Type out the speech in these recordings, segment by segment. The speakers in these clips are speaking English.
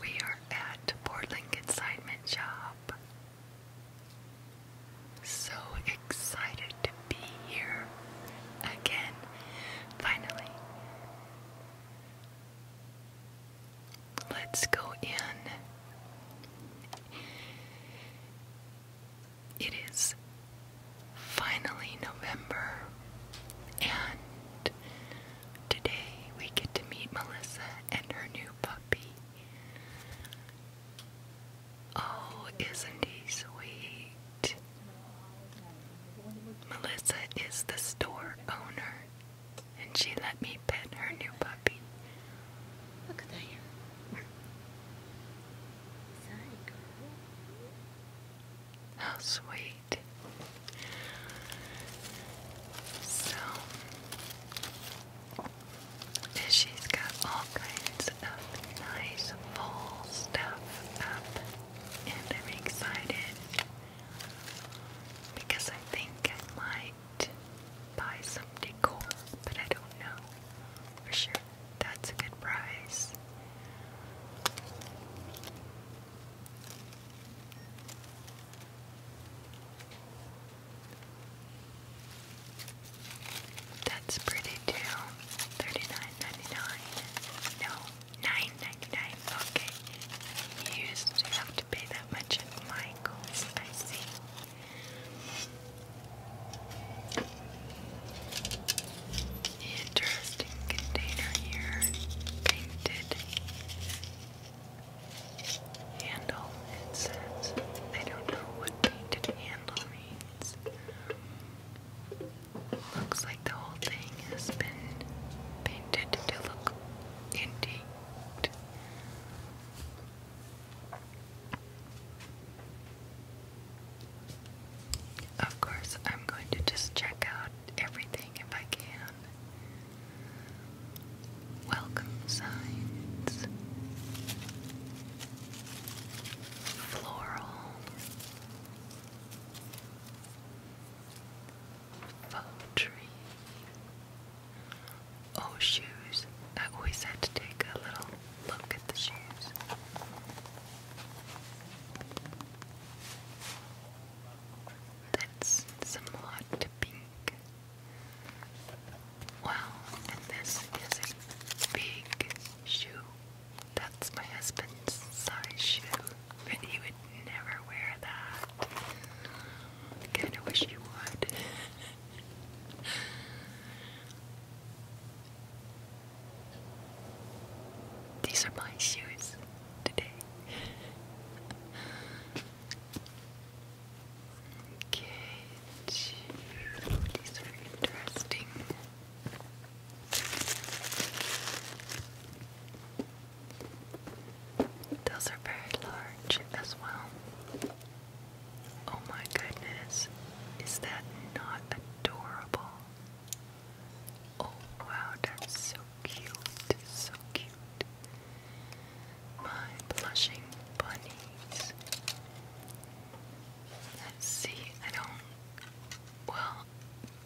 We are at Portland Consignment Shop. So excited to be here again, finally. Let's go in it is finally November, and today we get to meet Melissa and her new puppy. Oh, isn't he sweet? Melissa is the store owner, and she let me pet her new puppy. Look at that. How sweet. So, she's got all kinds of nice full stuff up, and I'm excited because I think I might buy some decor, but I don't know for sure. That's a good price. That's pretty too. Thirty-nine ninety-nine. No, nine ninety-nine. Okay. used to have to pay that much at Michael's, I see. Interesting container here, painted handle. It says, I don't know what painted handle means. Looks like the whole thing has been painted to look indeed. Of course, I'm going to just check out everything if I can. Welcome signs, floral, faux Oh, shoes. I always had to take a little look at the shoes. That's somewhat pink. Wow, and this a big shoe. That's my husband's size shoe. But he would never wear that. kinda wish he would. These are my shoes Okay, these are interesting. Those are very large as well. Oh my goodness, is that not adorable? Oh wow, that's so cute, so cute. My blushing bunnies. see, I don't. Well,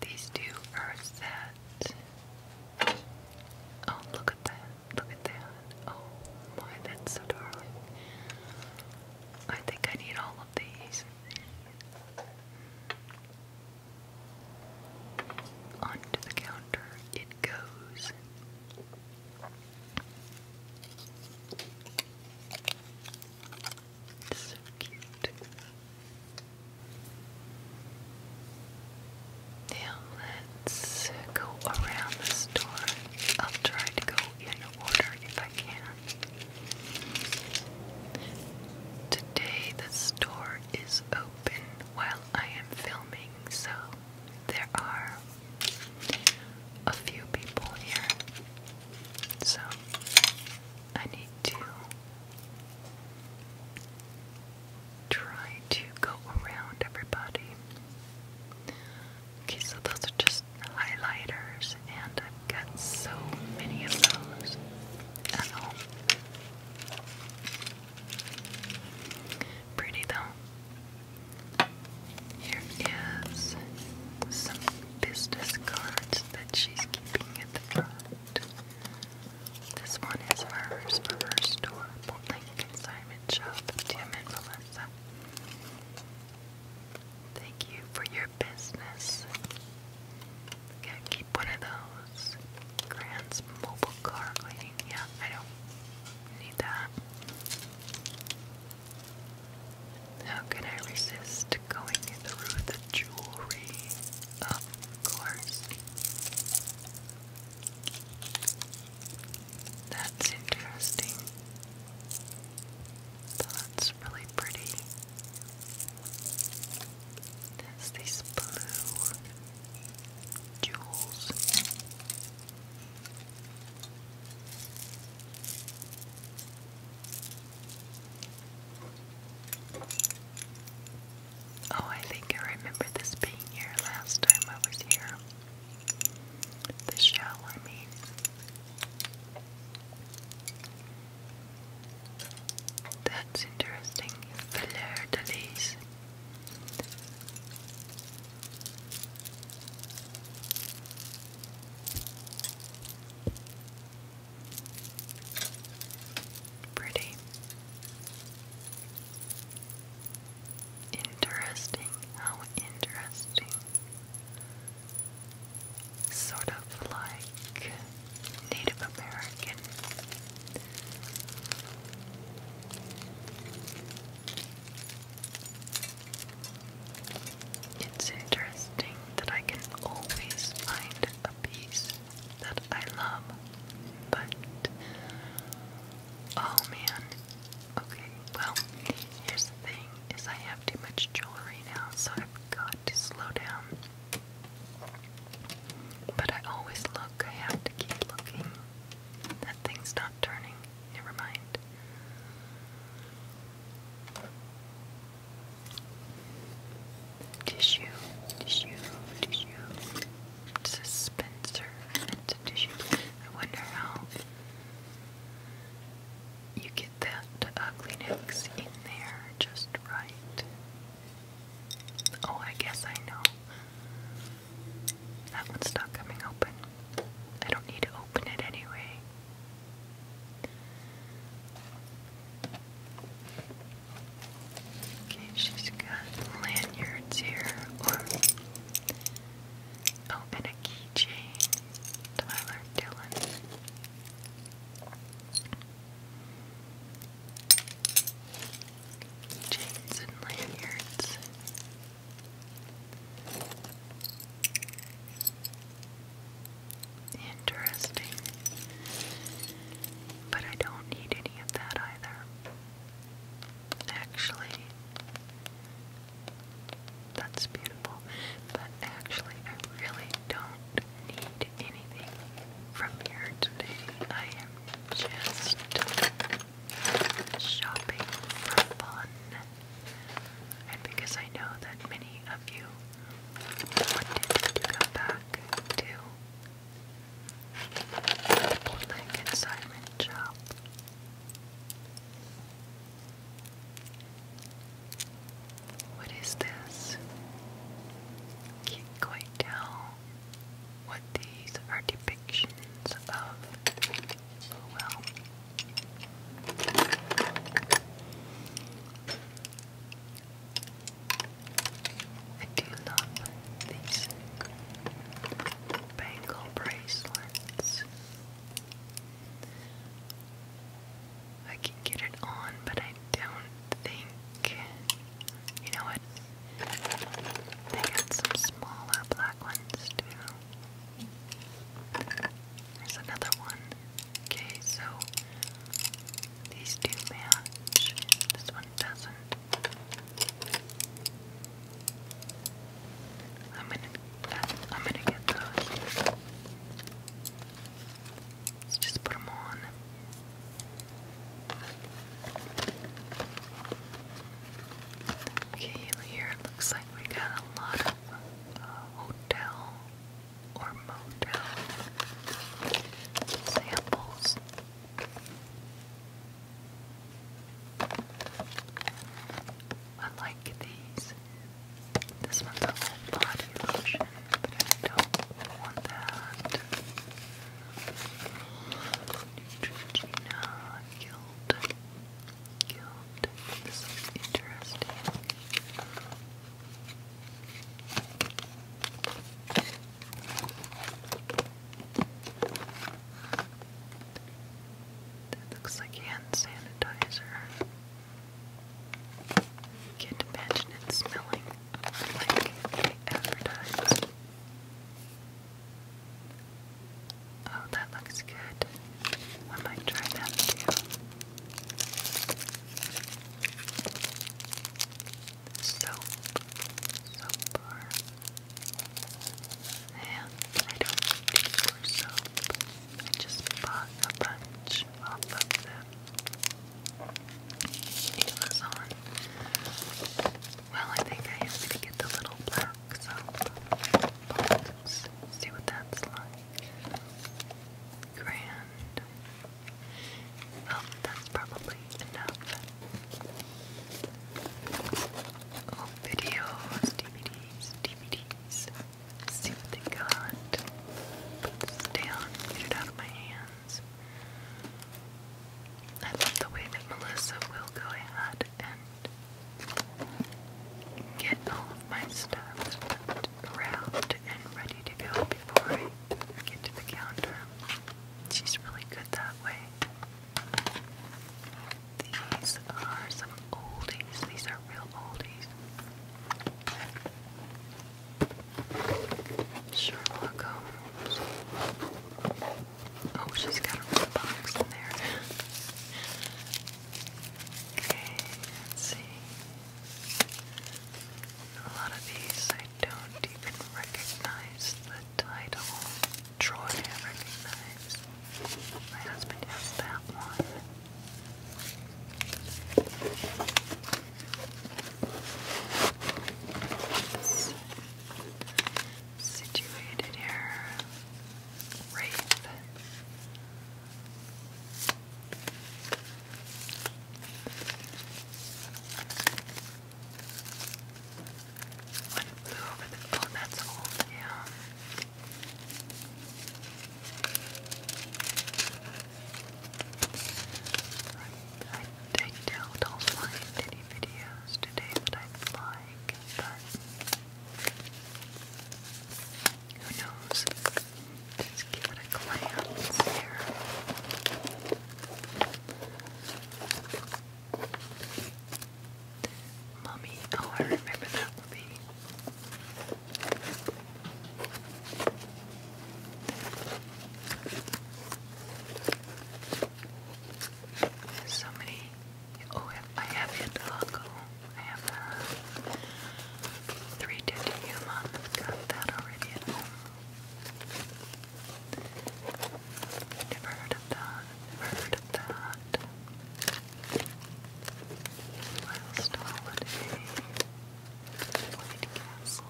these two are set. Oh, look at that. Look at that. Oh my, that's so darling. I think I need all of these. Onto the counter it goes. so cute. Now let's go around the store. I'll try to go in order if I can. Today the store is open while I am filming, so there are a few people here. So I need to try to go around everybody. Okay, so those are just highlighters, and I've got so many of those at home. Pretty though. Here is some business cards that she's keeping at the front. This one is hers her store, Blank Consignment Shop, Thank you for your business. Okay, keep one those. Grand's mobile car cleaning. Yeah, I don't need that. How can I resist going through the jewelry? Of course. That's interesting. That's really pretty. There's these blue jewels. Oh, I think I remember this being here last time I was here. The shell, I mean. That's interesting. Fleur Pretty interesting how interesting. Sort of like Native American. It's interesting that I can always find a piece that I love, but oh man, Okay, well, here's the thing, is I have too much jewelry now, so I've got to slow down. But I always look, I have to keep looking. That thing's not turning. Never mind. Tissue, tissue, tissue. Dispenser. tissue. I wonder how you get that ugliness in there just right. Oh, I guess I know. That one's not coming open. I don't need to open it anyway. Okay, she's got lanyards here, Open oh, a keychain. Tyler Dillon. Chains and lanyards. Interesting. But I don't need any of that either actually, that's beautiful, but actually, I really don't need anything from here today. I am just shopping for fun. And because I know that many of you wanted to go back to the bootleg and Simon shop, what is this? Can't quite tell what these are depictions of. Oh, well. I do love these bangle bracelets. I can get it on, but I don't think. You know what? They got some smaller black ones too. There's another one. Okay, so these do match. This one doesn't. I'm gonna, get those. Let's just put them on. Okay, here it looks like we got a lot of uh, hotel or motel samples. I like these. This one's a whole body lotion, but I don't want that. Neutrogena Guild. Guild. This is interesting. That looks like hand sanitizer. Can't imagine it smelling like they advertise. Oh, that looks good. I might try that too. Soap. Soap bar. And I don't need more soap. I just bought a bunch of the Amazon. Well, I think I have to get the little black So, But let see what that's like. Grand. Well, that's probably enough old videos, DVDs, DVDs. see what they got. Put this down, get it out of my hands. I love the way that Melissa will go ahead and get all of my stuff wrapped and ready to go before I get to the counter. She's really good that way. These are some oldies. These are real oldies. Sherlock Holmes. Oh, she's got a box in there. okay, see. A lot of these I don't even recognize the title. Troy I recognize. My husband has that one. situated here. Wraith. One flew over the oh that's yeah. I, I don't also find any videos today that I'd like, but who knows? Just give it a glance here. Mummy. Oh, I remember that movie. so many. Oh, I have hit Hoko. I have a uh, 350 human. Got that already Never heard of that. Never heard of that. Last holiday, White Castle.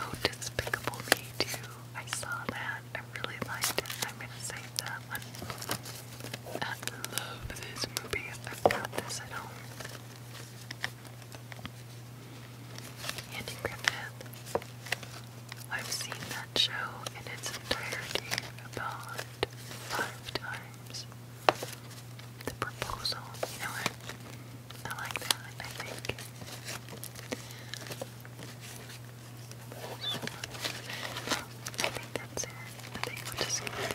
Oh, Despicable Me too. I saw that. I really liked it. I'm gonna save that one. I love this movie. I've got this at home. Andy Griffith. I've seen that show in its entirety about five times. The proposal, you know what? I like that, I think. I think that's it. I think we'll just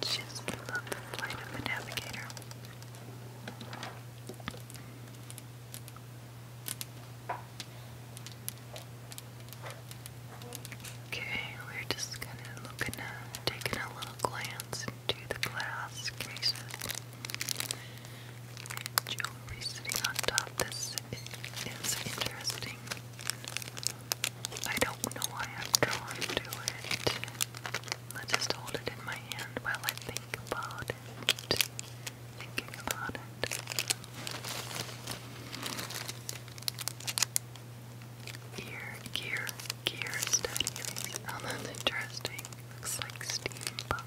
Just love the flight of the navigator. Okay, we're just kind of taking a little glance into the glass cases. Jewelry sitting on top. This is interesting. I don't know why I'm drawn to it. Let's just hold it in my hand while I think about it. Thinking about it. Gear, gear, gear studies. Oh, that's interesting. Looks like steampunk.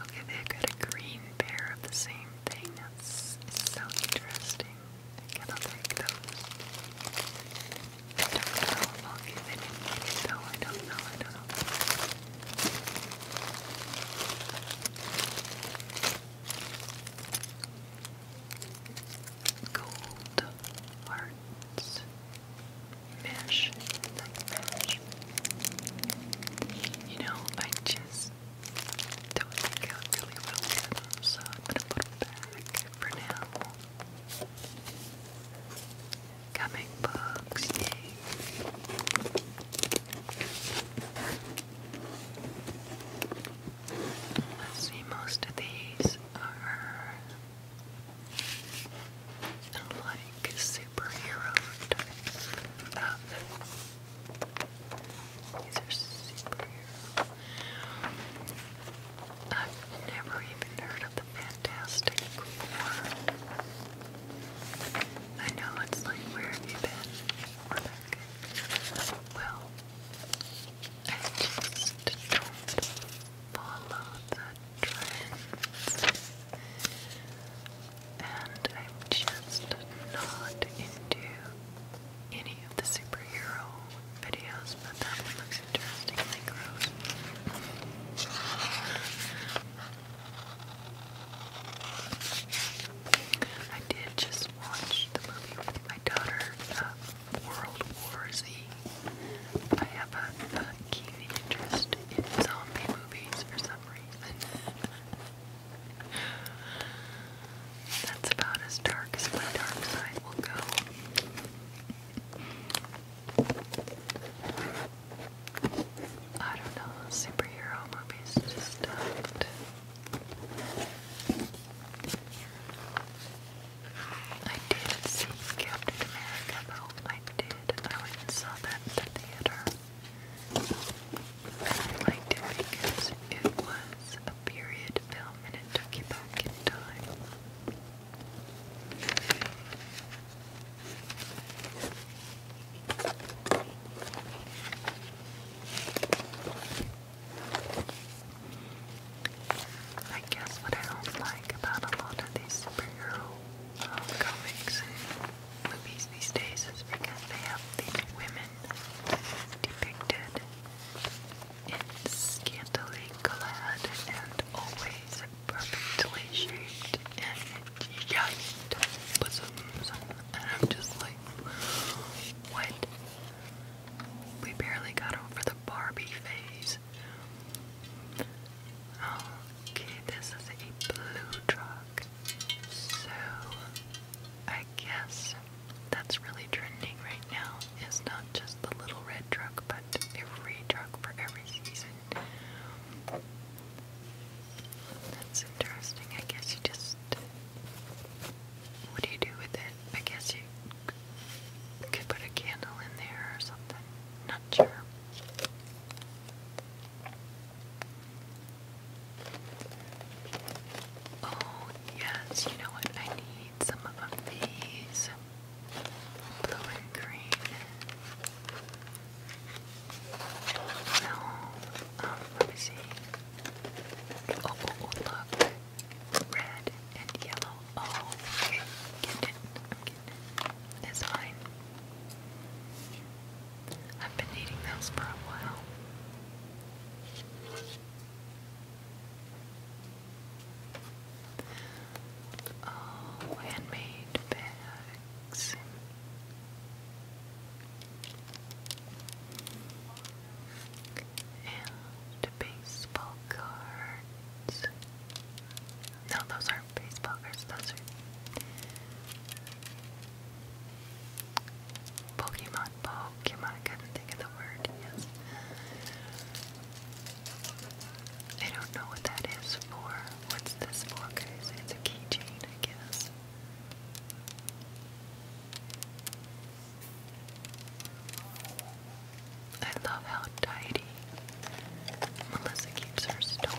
Okay, they got a green pair of the same thing. That's so interesting. I cannot take those. I don't know. Okay, they didn't I don't know. I don't know. Gold hearts. mesh. You know, I just that would work really well so I'm gonna put it back for now. Comic books, Let's see, most of these are like superhero type these are superhero. I've never even heard of the Fantastic Four. I know it's like, where have you been? Well, I just don't follow the trends and I'm just not into any of the superhero videos, but that looks interestingly I did just watch the movie with my daughter, uh, World War Z. I have a keen interest in zombie movies for some reason. That's about as dark as my dark side will go. I don't know, superhero movies uh, I did see Captain America though. I did. I went saw that in the theater. I'd like to it was a period film and it took you back in time. I guess what I don't like about a lot of these superhero uh, comics movies these days is because they have the women depicted in scantily clad and always perfectly shaped and giant bosoms. And I'm just like, what? We barely got over the Barbie phase. Okay, this is a blue truck. So, I guess that's really trending right now is not just the little red truck, but every truck for every season. That's interesting. I guess you just. What do you do with it? I guess you could put a candle in there or something. Not sure. Oh, yes, you know what? I need some of these blue and green. No, oh, um, let me oh, oh, oh, look. Red and yellow. Oh, okay. Get it. I'm getting it. It's fine. I've been eating those for a while. Oh, handmade bags. And baseball cards. No, those are baseball cards, those Pokemon, Pokemon, I couldn't think of the word, I don't know what that is for. What's this for, guys? It's a keychain, I guess. I love how tidy Melissa keeps her store.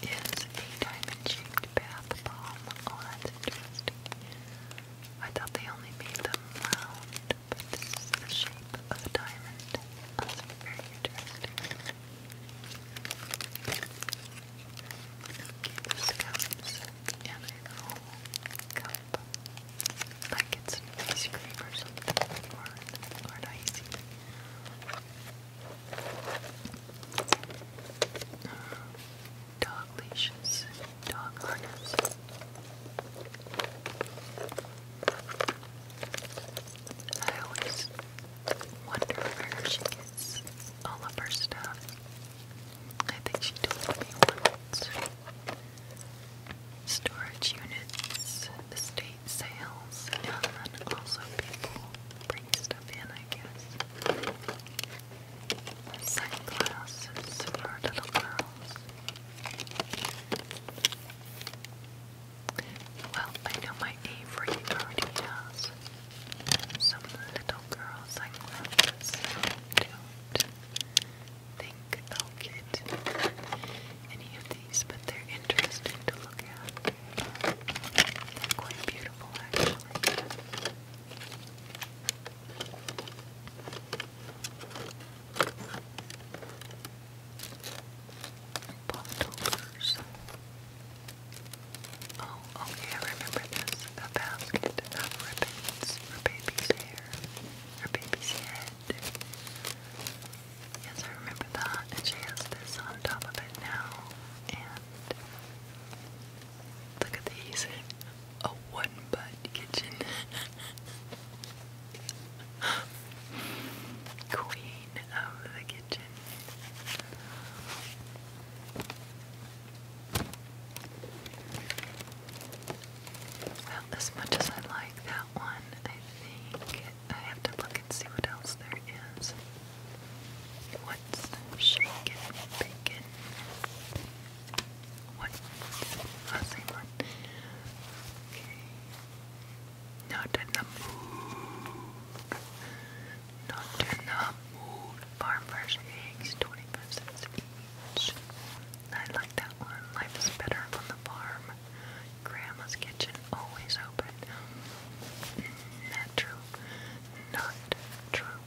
This is a diamond-shaped bath bomb. Oh, that's interesting. I thought they only made them round, the shape of a diamond. That's very interesting. Okay, this comes in a little cup. Like it's an ice cream or something, or, icy. Dog leashes, dog harness. I always wonder where she gets all of her stuff. I think she told me once. Storage units, estate sales, and then also people bring stuff in, I guess. Sunglasses for little girls. Well, I know my Avery already has some little girl I don't think I'll get any of these, but they're interesting to look at. Quite beautiful, actually. Bottles. Oh, okay, oh, remember this. A basket of ribbons for baby's hair, or baby's head. Yes, I remember that. And she has this on top of it now. And look at these. A one butt kitchen. Queen of the kitchen. Well, as much as I like that one, I think I have to look look and see what else there is. What's shaken bacon? What? Ah, same one. Okay. Not in the mood. Not in the mood. Farm fresh eggs, 25 cents I like that one. Life is better on the farm. Grandma's kitchen always open. Mm, not true. Not true.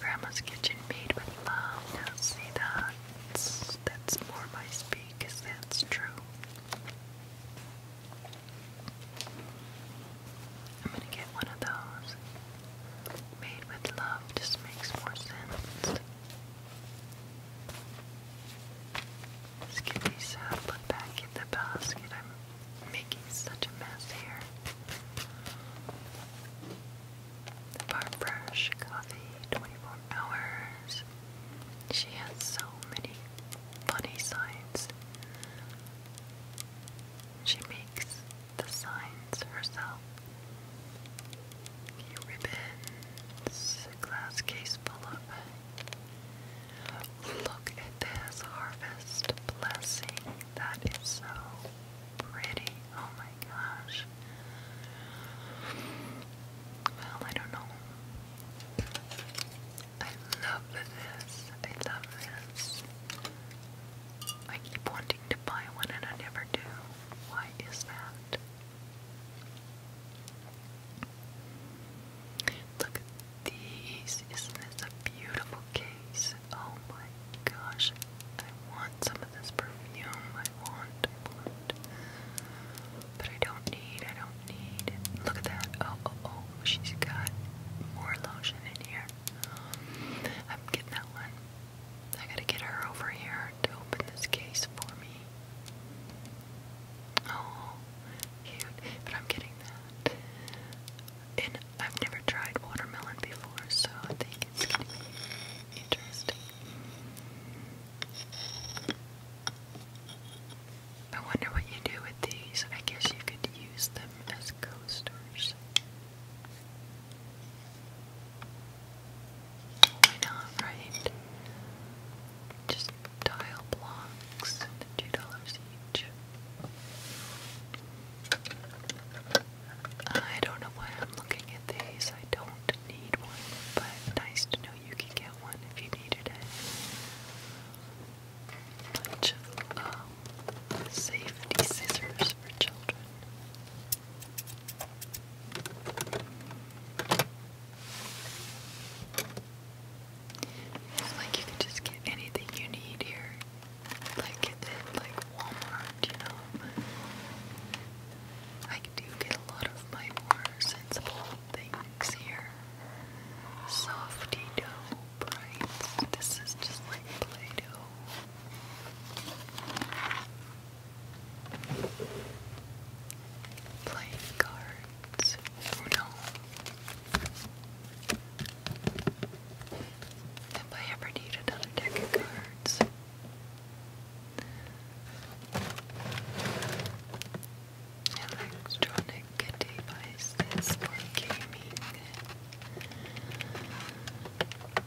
Grandma's kitchen made with love. see that's that's more my speak because that's true. I'm gonna get one of those. Made with love just makes more sense. Skitty's uh, put back in the basket. I'm making such a mess here. The bar brush, coffee, 24 hours. She has so many funny signs. She makes the signs herself. Ribbons, glass case full of Look at this harvest blessing. That is so pretty. Oh my gosh. Well, I don't know. I love this. I love this. I keep wanting to buy one and I never do. Why is that? Look at these. Isn't this a beautiful case? Oh my gosh. I want some of this perfume. I want, I want. But I don't need, I don't need. Look at that. Oh, oh, oh. She's got more lotion in here. I'm getting that one. I gotta get her over here to open this case for me. Oh, cute. But I'm getting that. And I've never tried watermelon before, so I think it's interesting. I wonder what you do with these. I guess you could use them as coasters. Why not, right? Just tile blocks two dollars each. I don't know why I'm looking at these. I don't need one, but nice to know you can get one if you need it. Bunch of um, safety scissors for children. It's like you can just get anything you need here. Like at like Walmart, you know. I do get a lot of my more sensible things here. Softy dough bright. This is just like Play-Doh. Playing card. Oh no. If I ever need another deck of cards. Electronic devices for gaming.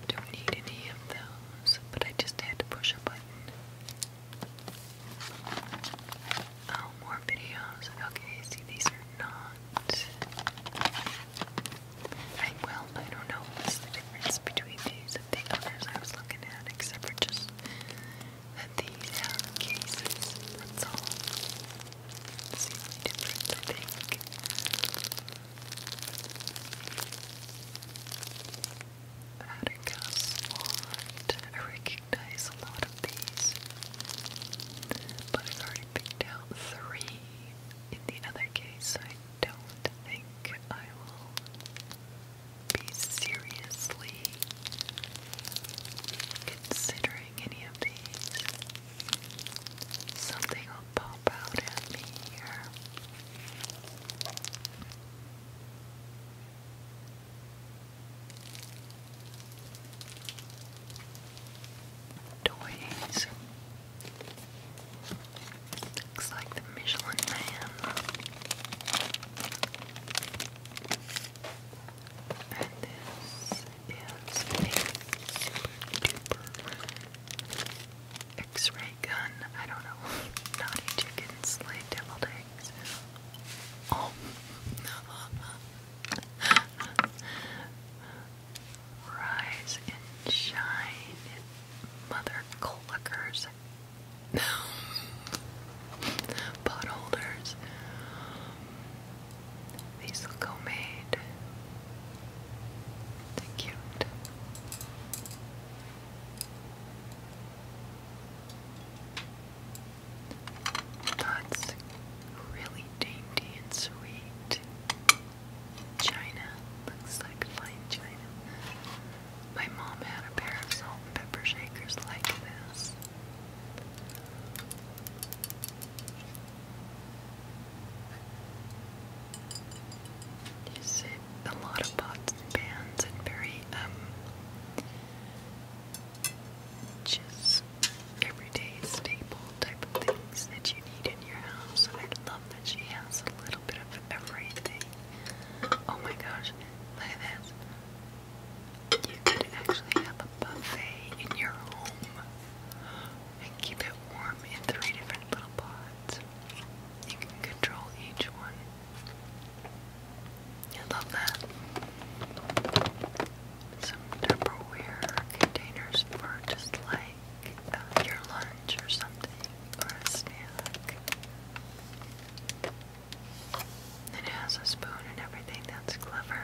Don't need any of those, but I just had to push a button. Oh, more videos. Okay, see, these are not. well, I don't know what's the difference between these and the others I was looking at, except for just that these have cases. That's all. That's difference, had a I recognize a lot of these, but i already picked out three. In the other case, I don't think I will be seriously considering any of these. Something will pop out at me here. Toys. Looks like the Michelin Man. And this is a super X-ray gun. I don't know. Naughty chickens, slave devil day eggs. Oh, Rise and shine, mother cluckers, pot holders. These look homemade. They're cute. That's really dainty and sweet. China looks like fine china. My mom had a pair of salt and pepper shakers like this. You see a lot of pots and pans and very um just everyday staple type of things that you need in your house. And I love that she has a little bit of everything. Oh my gosh, look at this. You could actually have a buffet in your home and keep it warm in three different little pots. You can control each one I love that. Some Tupperware containers for just like uh, your lunch or something, It has a spoon and everything, that's clever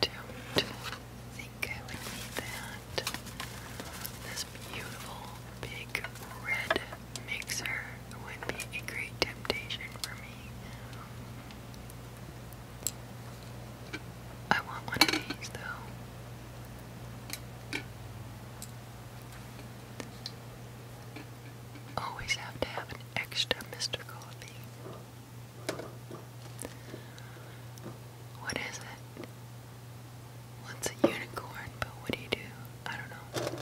don't think I would need that. This beautiful big red mixer would be a great temptation for me. I want one of these though. Always have to have an extra Mr. Coffee. What is it? What's a unicorn? But what do you do? I don't know.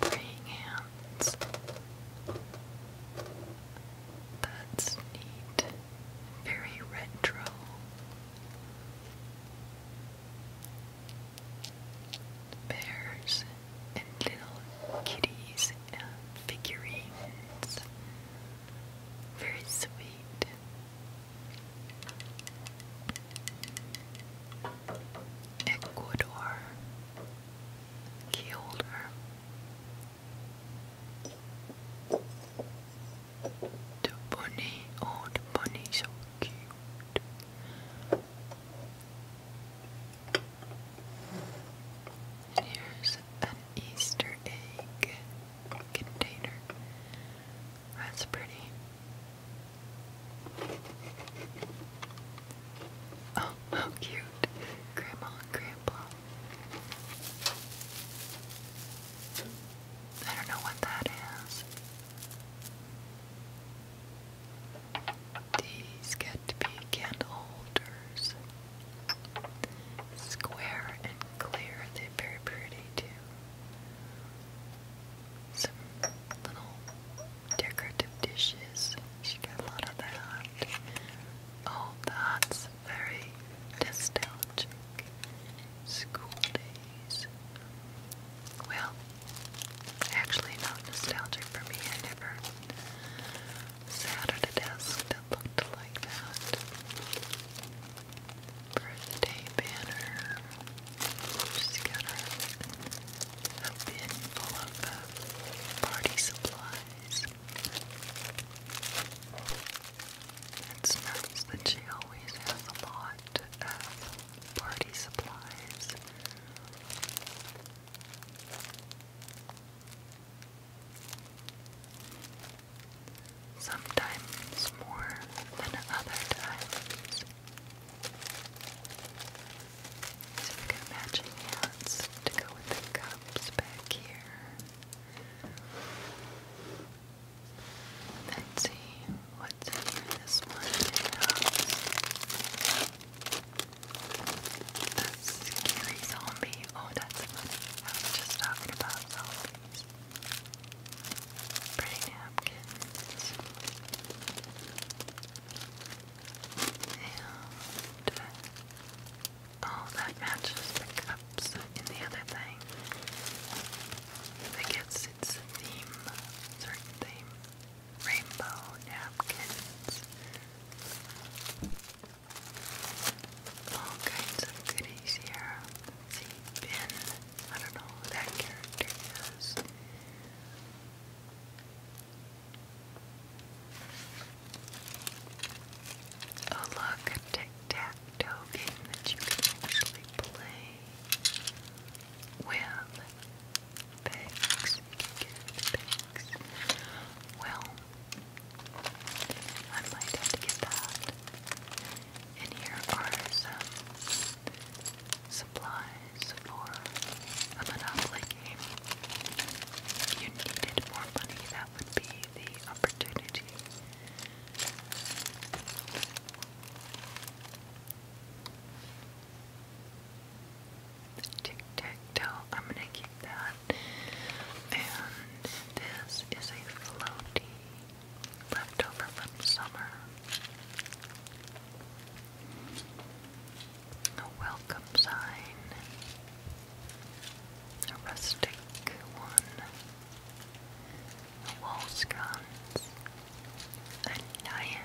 Praying hands. That's neat. Very retro. Bears and little kitties and figurines. Very sweet. Ecuador key holder. The bunny, oh the bunny so cute. here's an Easter egg container. That's pretty. Oh, how cute. Grandma and Grandpa. I don't know what that is. These get to be candle holders. Square and clear, they're very pretty too. Some little decorative dishes. She got a lot of that. Oh, that's very nostalgic. School days. Well, actually, not nostalgic for me. I never Saturday desk that looked like that. Birthday banner. Just got a bin full of party supplies. It smells that she always has a lot of party supplies. Sometimes more than other times. So matching hats to go with the cups back here. Let's see what's in this one. It scary zombie selfie. Oh, that's funny. I was just talking about Pretty napkins. And oh, that matches the cups in the other thing. I guess it's a theme, a certain theme. Rainbow napkins all kinds of goodies here. See, Ben, I don't know that character Oh look, tic-tac-toe that you can actually play with pigs. You can Well, I might have to get that. And here are some supplies for a Monopoly game. If you needed more money, that would be the opportunity. Tic tac toe, I'm gonna keep that. And this is a floaty leftover from summer. A welcome sign. A rustic one. A wall sconce. A nyan.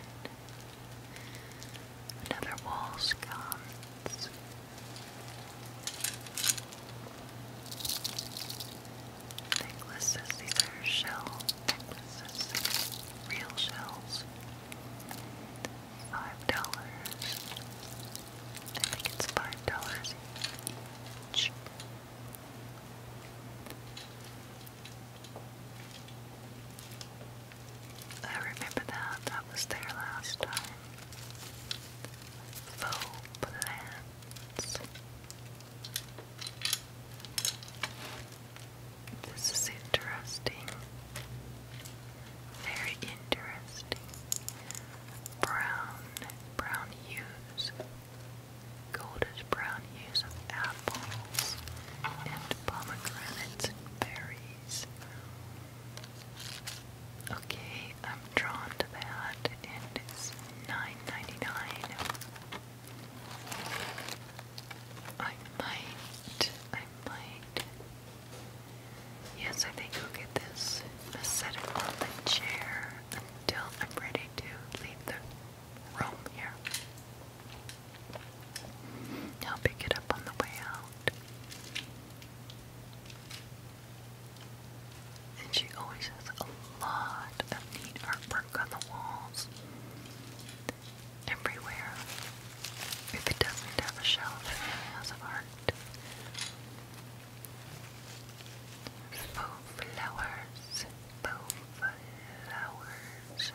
Another wall sconce. Necklaces, these are shell necklaces, real shells. Five dollars. I think it's five dollars each. I remember that. That was there last time faux This is interesting. Very interesting. Brown, brown hues. Goldish brown hues of apples and pomegranates and berries. Okay, I'm drawn to that, and it's nine ninety nine. I might, I might. Yes, I think I'll get this. set it on the until I'm ready to leave the room here. I'll pick it up on the way out. And she always has a lot of neat artwork on the walls. Everywhere. If it doesn't have a shelf, it has art. Faux flowers, faux flowers,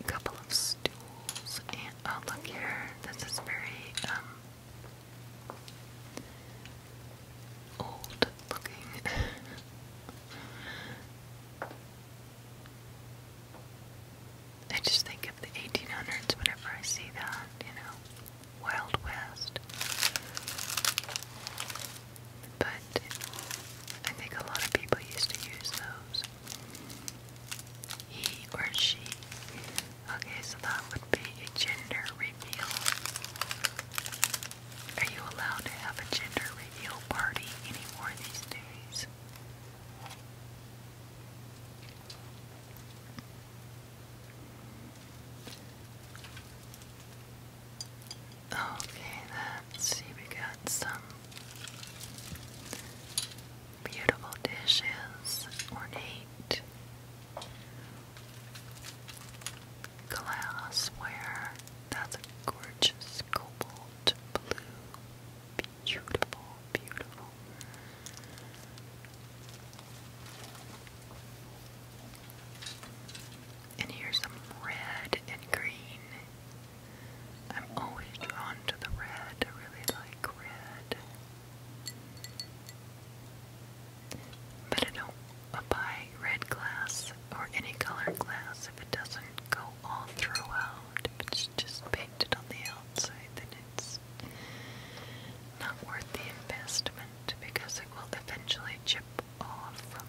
a couple of stools, and oh look here, this is very um old looking. I just think of the 1800s whenever I see that, you know, Wild West. But I think a lot of people used to use those. He or she. Okay, so that would be a gender reveal. Are you allowed to have a gender reveal party anymore these days? Okay, let see, we got some Beautiful dishes, ornate glassware. That's a gorgeous cobalt blue. Beautiful, beautiful. And here's some red and green I'm always drawn to the red. I really like red. But I don't buy red glass or any colored glass if it doesn't go all throughout. If it's just painted on the outside, then it's not worth the investment because it will eventually chip off.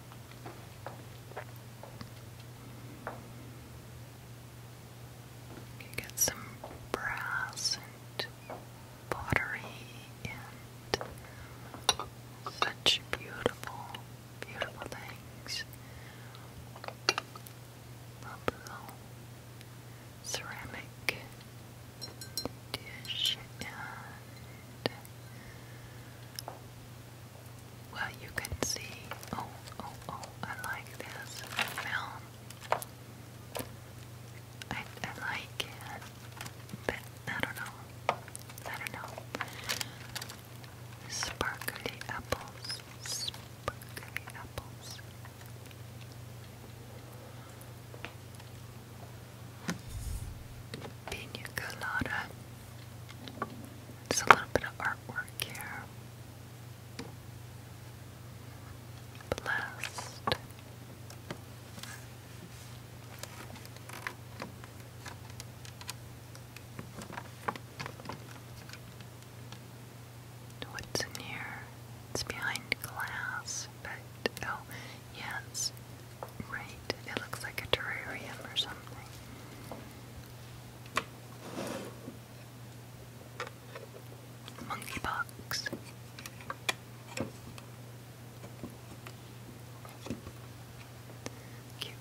You get some brass and pottery and such beautiful, beautiful things. Little ceramic dish and well, you can see. Oh, oh, oh! I like this film. I, I like it, but I don't know. I don't know. Sparkly apples. Sparkly apples. Pina There's a little bit of artwork here blessed. What's in here? It's behind glass, but oh, yes, right. It looks like a terrarium or something monkeypox. Cute.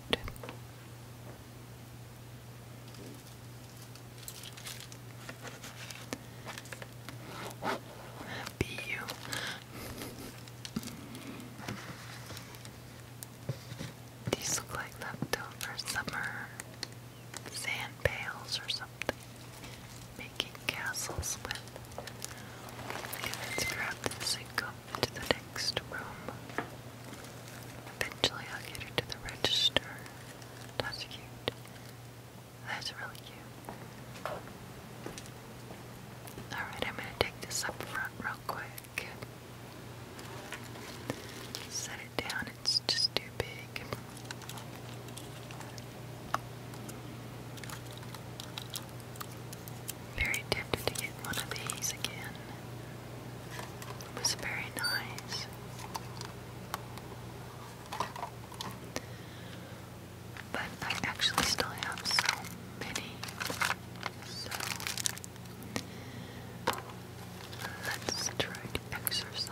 Be you. These look like leftover summer sand pails or something. Making castles with. let's grab this and go to the next room. Eventually I'll get to the register. That's cute. That's really cute. Alright, I'm gonna take this up front real quick. Set it down, it's just too big. Very tempted to get one of these again. It was very nice. But I actually still have so many. So Let's try exercise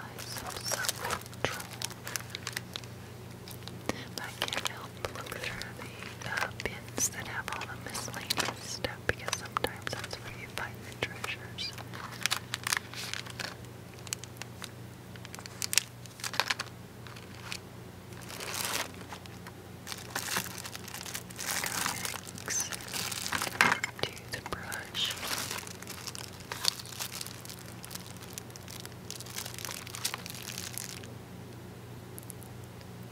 I can't help look through the uh, bins that have all the miscellaneous stuff because sometimes that's where you find the treasures. Comics, do the brush.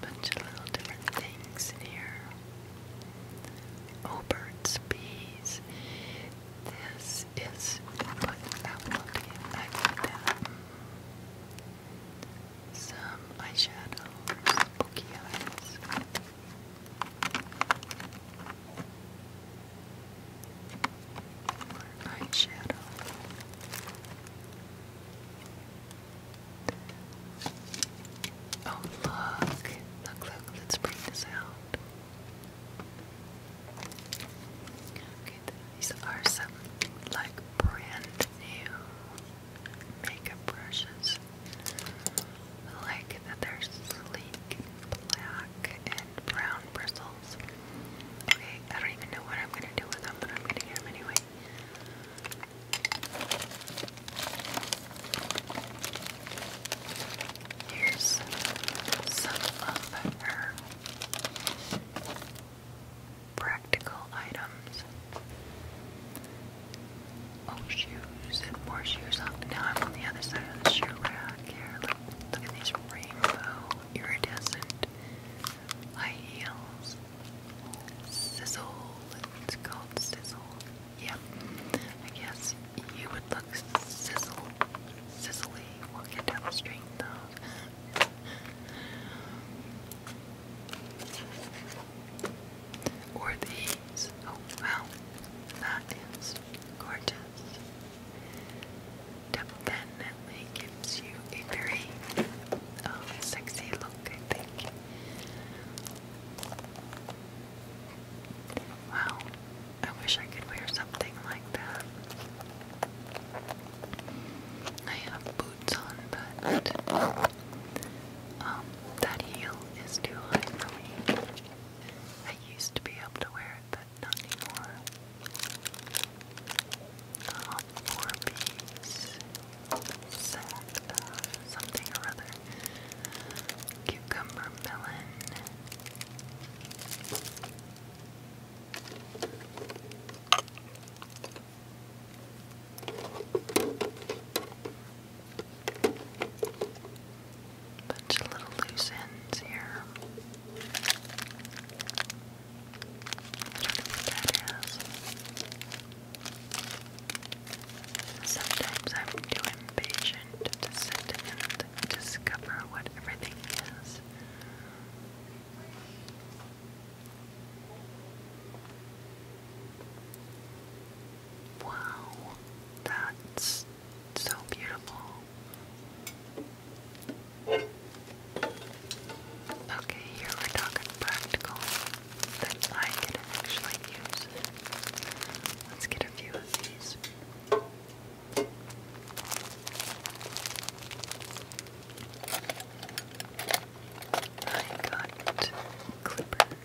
Bunch of little different things in here. Oh, bees. This is what I will be like Some eyeshadow, some bookie eyeshadow. Oh look, look, look, let's bring this out. Okay, these are some like brand new makeup brushes. I like that they're sleek, black, and brown bristles. Okay, I don't even know what I'm gonna do with them, but I'm going them anyway. Here's some of practical items. Oh, shoes and more shoes Now I'm on the other side of the shoe rack here. Look, look at these rainbow iridescent high heels. Sizzle. It's called sizzle. Yep. I guess you would look sizzle, sizzly walking down the street Or these. Oh, wow. That is gorgeous. Definitely gives you a very um, sexy look, I think. Wow. I wish I could wear something like that. I have boots on, but um, that heel is too high for me. I used to be able to wear it, but not anymore. Um, four piece set, something or other. Cucumber melon. Bunch of little loose ends here. Sometimes I'm too impatient to sit and discover what everything is. Wow, that's so beautiful. Okay, here we're talking practical that I can actually use. Let's get a few of these. I got clippers. I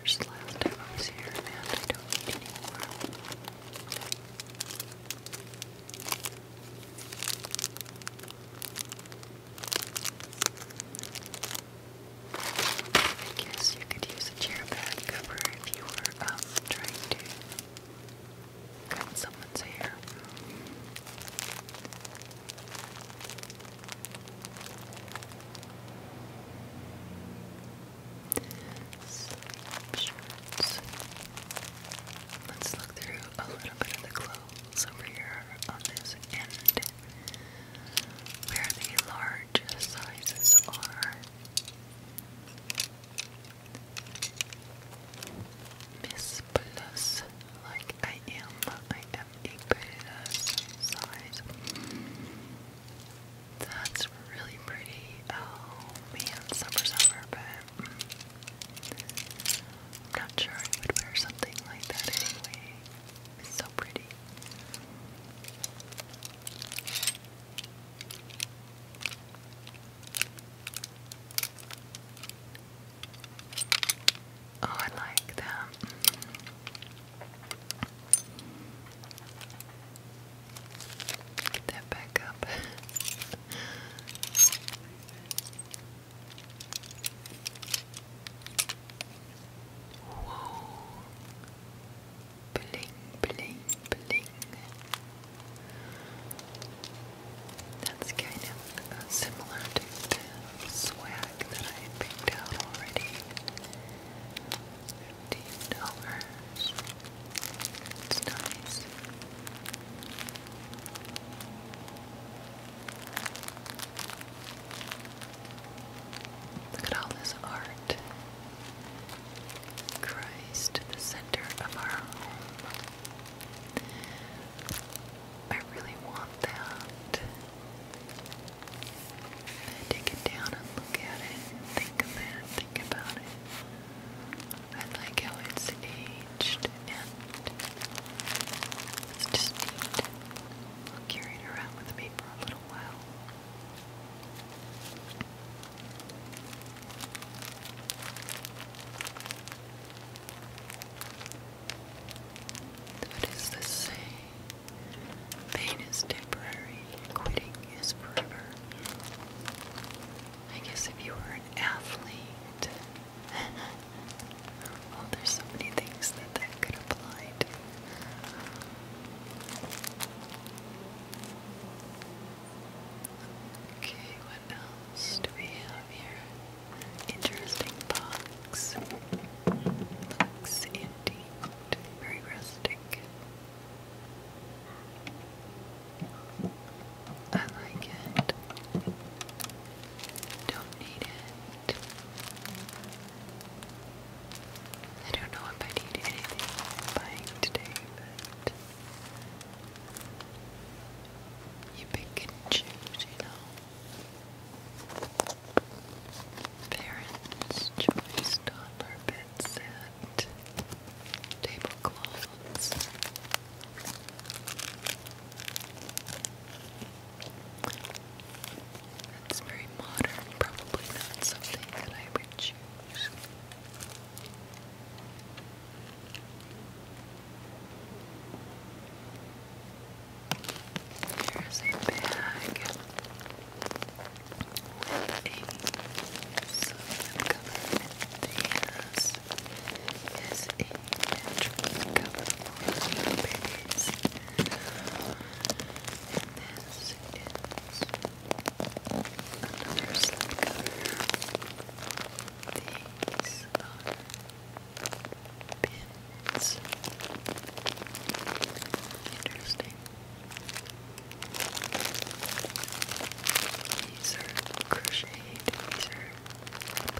guess you could use a chair back cover if you were um, trying to cut someone's hair. Shirts. Let's look through a little bit of the clothes over here on this end where the large sizes are. Miss Plus, like I am, I am a plus size. That's really pretty. Oh man, summer's over, but I'm not sure I would wear something like that anyway. so pretty. Oh, I like that. Get that back up. Whoa. Bling, bling, bling. That's kind of uh, similar to the swag that I picked out already dollars. It's nice. Look at all this art. Christ, the center of our home. I really want that. And take it down and look at it think of it, think about it. I like how it's aged and it's just neat. around with me for a little while. What is this saying? Pain is temporary, quitting is forever. I guess if you were an athlete, well, there's so many things that that could apply Okay, what else do we have here? Interesting box. Looks empty very rustic. I like it. Don't need it. I don't know if I need anything buying today, but you pick and choose, you know. Parents' choice toddler bed set. Tablecloths. That's very modern, probably not something that I would choose. Here's a bag with a solid government yes, is a natural another slip cover these are Pins. Interesting. These are crocheted. These are, I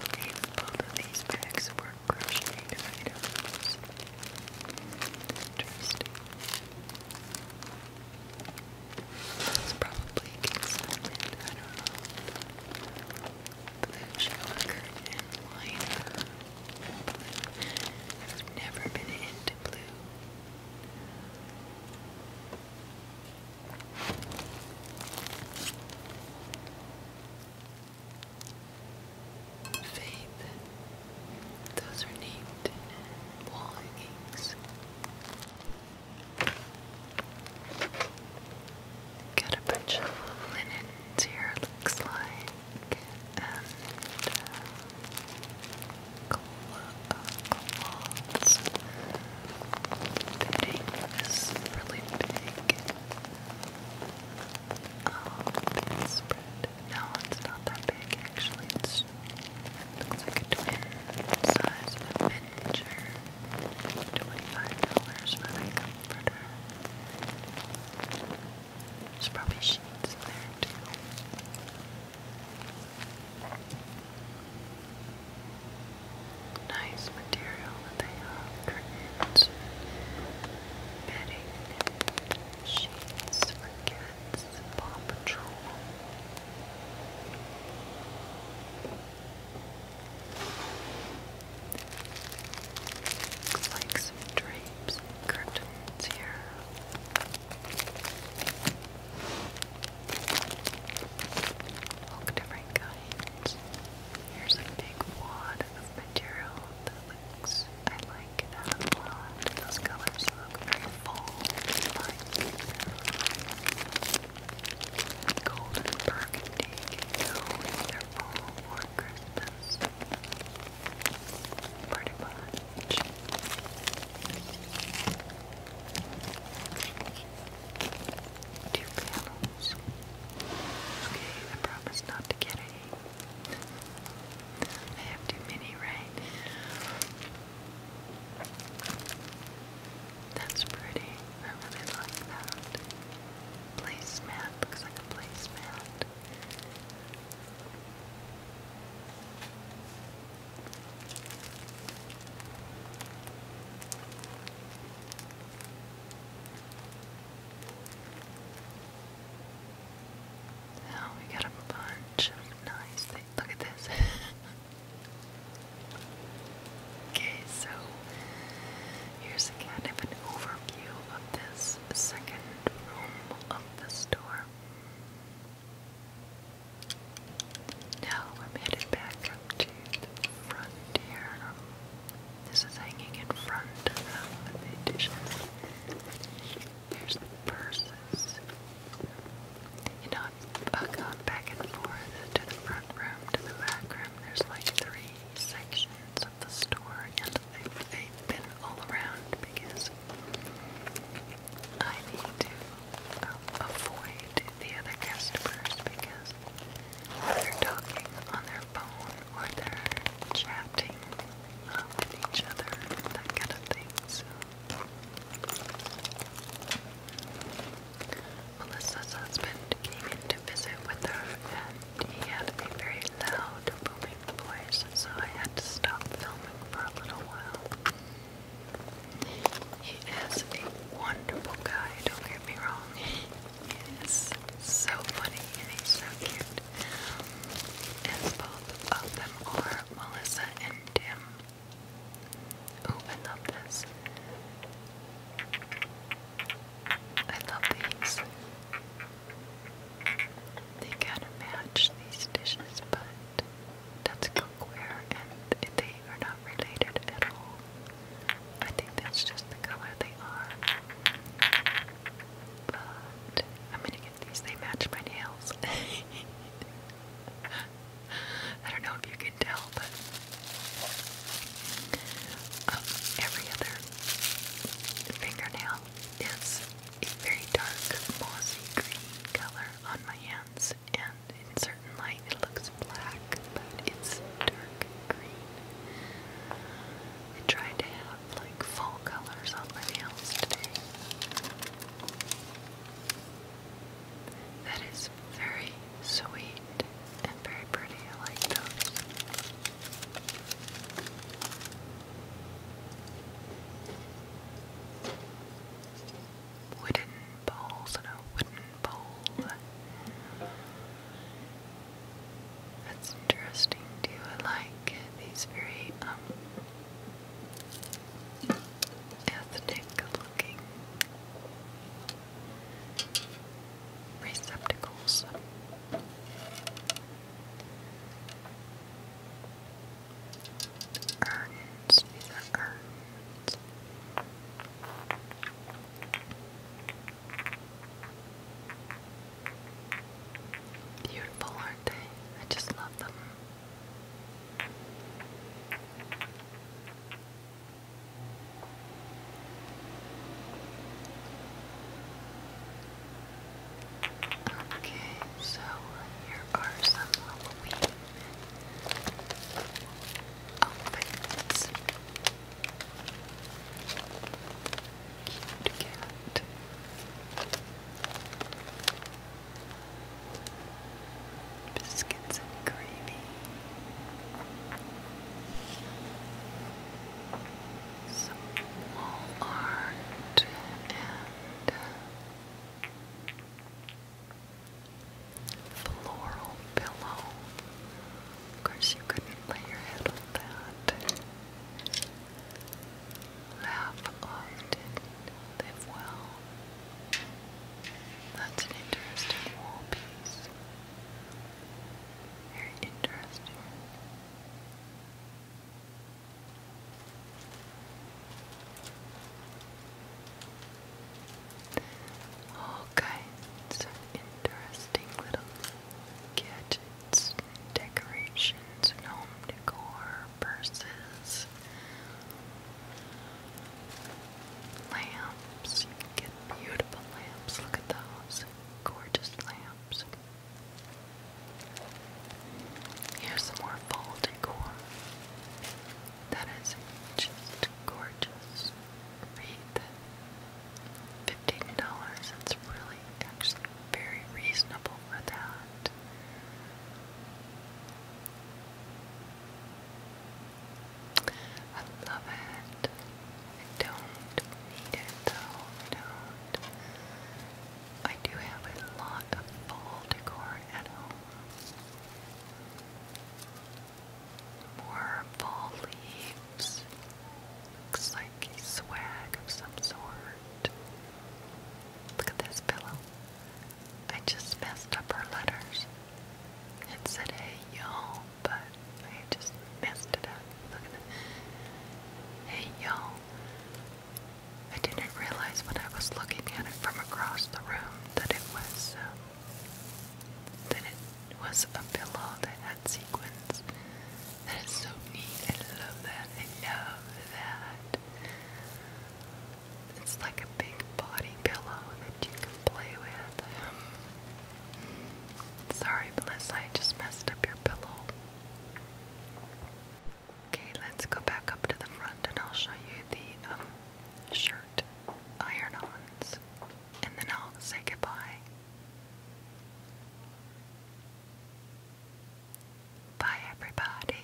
these bags were crocheted items. Interesting. It's probably consignment, I don't know. Blue shower curtain I've never been into blue. Faith. Those are named wall hangings. Got a bunch of linens here, looks like uh, cloths. The tank is really big. Oh, it's spread. No, it's not that big actually. It's, it like a twin size miniature. $25 for that comforter. There's probably sheets in there too. Nice material that they have. bedding, sheets for kids, Paw Patrol. Looks like some drapes and here. All different kinds. Here's a big wad of material that looks, I like that a lot. Those colors look very full, like gold and burgundy can go either fall or Christmas. Pretty much. Two pillows. Okay, I promise not to get any. I have too many, right? That's pretty. I really like that. Placemat. Looks like a placemat. Now oh, we got a bunch of nice things. Look at this. okay, so here's kind of an overview of this second room of the store. Now I'm headed back up to the frontier. This is hanging in front of the dishes. There's the purses. You know, I've gone back and forth to the front room, to the back room. There's like three sections of the store, I've been all around because I need to um, avoid the other customers because they're talking on their phone or they're chatting um, with each other, that kind of thing. So. Melissa's husband came in to visit with her and he had a very loud booming the place, so I had to stop filming for a little while. He is a wonderful guy, don't get me wrong. He is so funny and he's so cute. And both of them are Melissa and Tim. Oh, I love this. I love these. They kind of match these dishes, but that's cookware and they are not related at all. I think that's just the color they are. But I'm gonna get these, they match my nails. I don't know if you can tell, but um, every other fingernail is a very dark mossy green color on my hands, and in certain light it looks black, but it's dark green. I tried to have like fall colors on my nails today. That is very sweet and very pretty. I like those. Wooden bowls and wooden bowl. That's interesting Do you like these very um, ethnic looking receptacles. Urns, these are Beautiful, aren't they? I just love them. Okay, so here are some Halloween outfits. Cute cat. Biscuits and gravy. Some wall art and floral pillow. Of course, you couldn't lay your head on that. Laugh often, live well. That's an interesting wall piece. Very interesting. All kinds interesting little gadgets decorations home decor, purses, lamps. You get beautiful lamps. Look at those gorgeous lamps. Here's some more fall decor. That is just gorgeous. Read $15. It's really actually very reasonable for that. I love it. I don't need it though. I I do have a lot of fall decor at home. More fall leaves. Looks like swag of some sort. Look at this pillow. I just messed up her letters. It said hey y'all, but I just messed it up. Look at that. Hey y'all. I didn't realize when I was looking at it from across the room that it was uh, that it was a pillow that had sequins. That is so neat. I love that. I love that. It's like a big body pillow that you can play with. Sorry, Melissa, I just messed up your pillow. Okay, let's go back up to the front and I'll show you the um, shirt iron ons and then I'll say goodbye. Bye, everybody.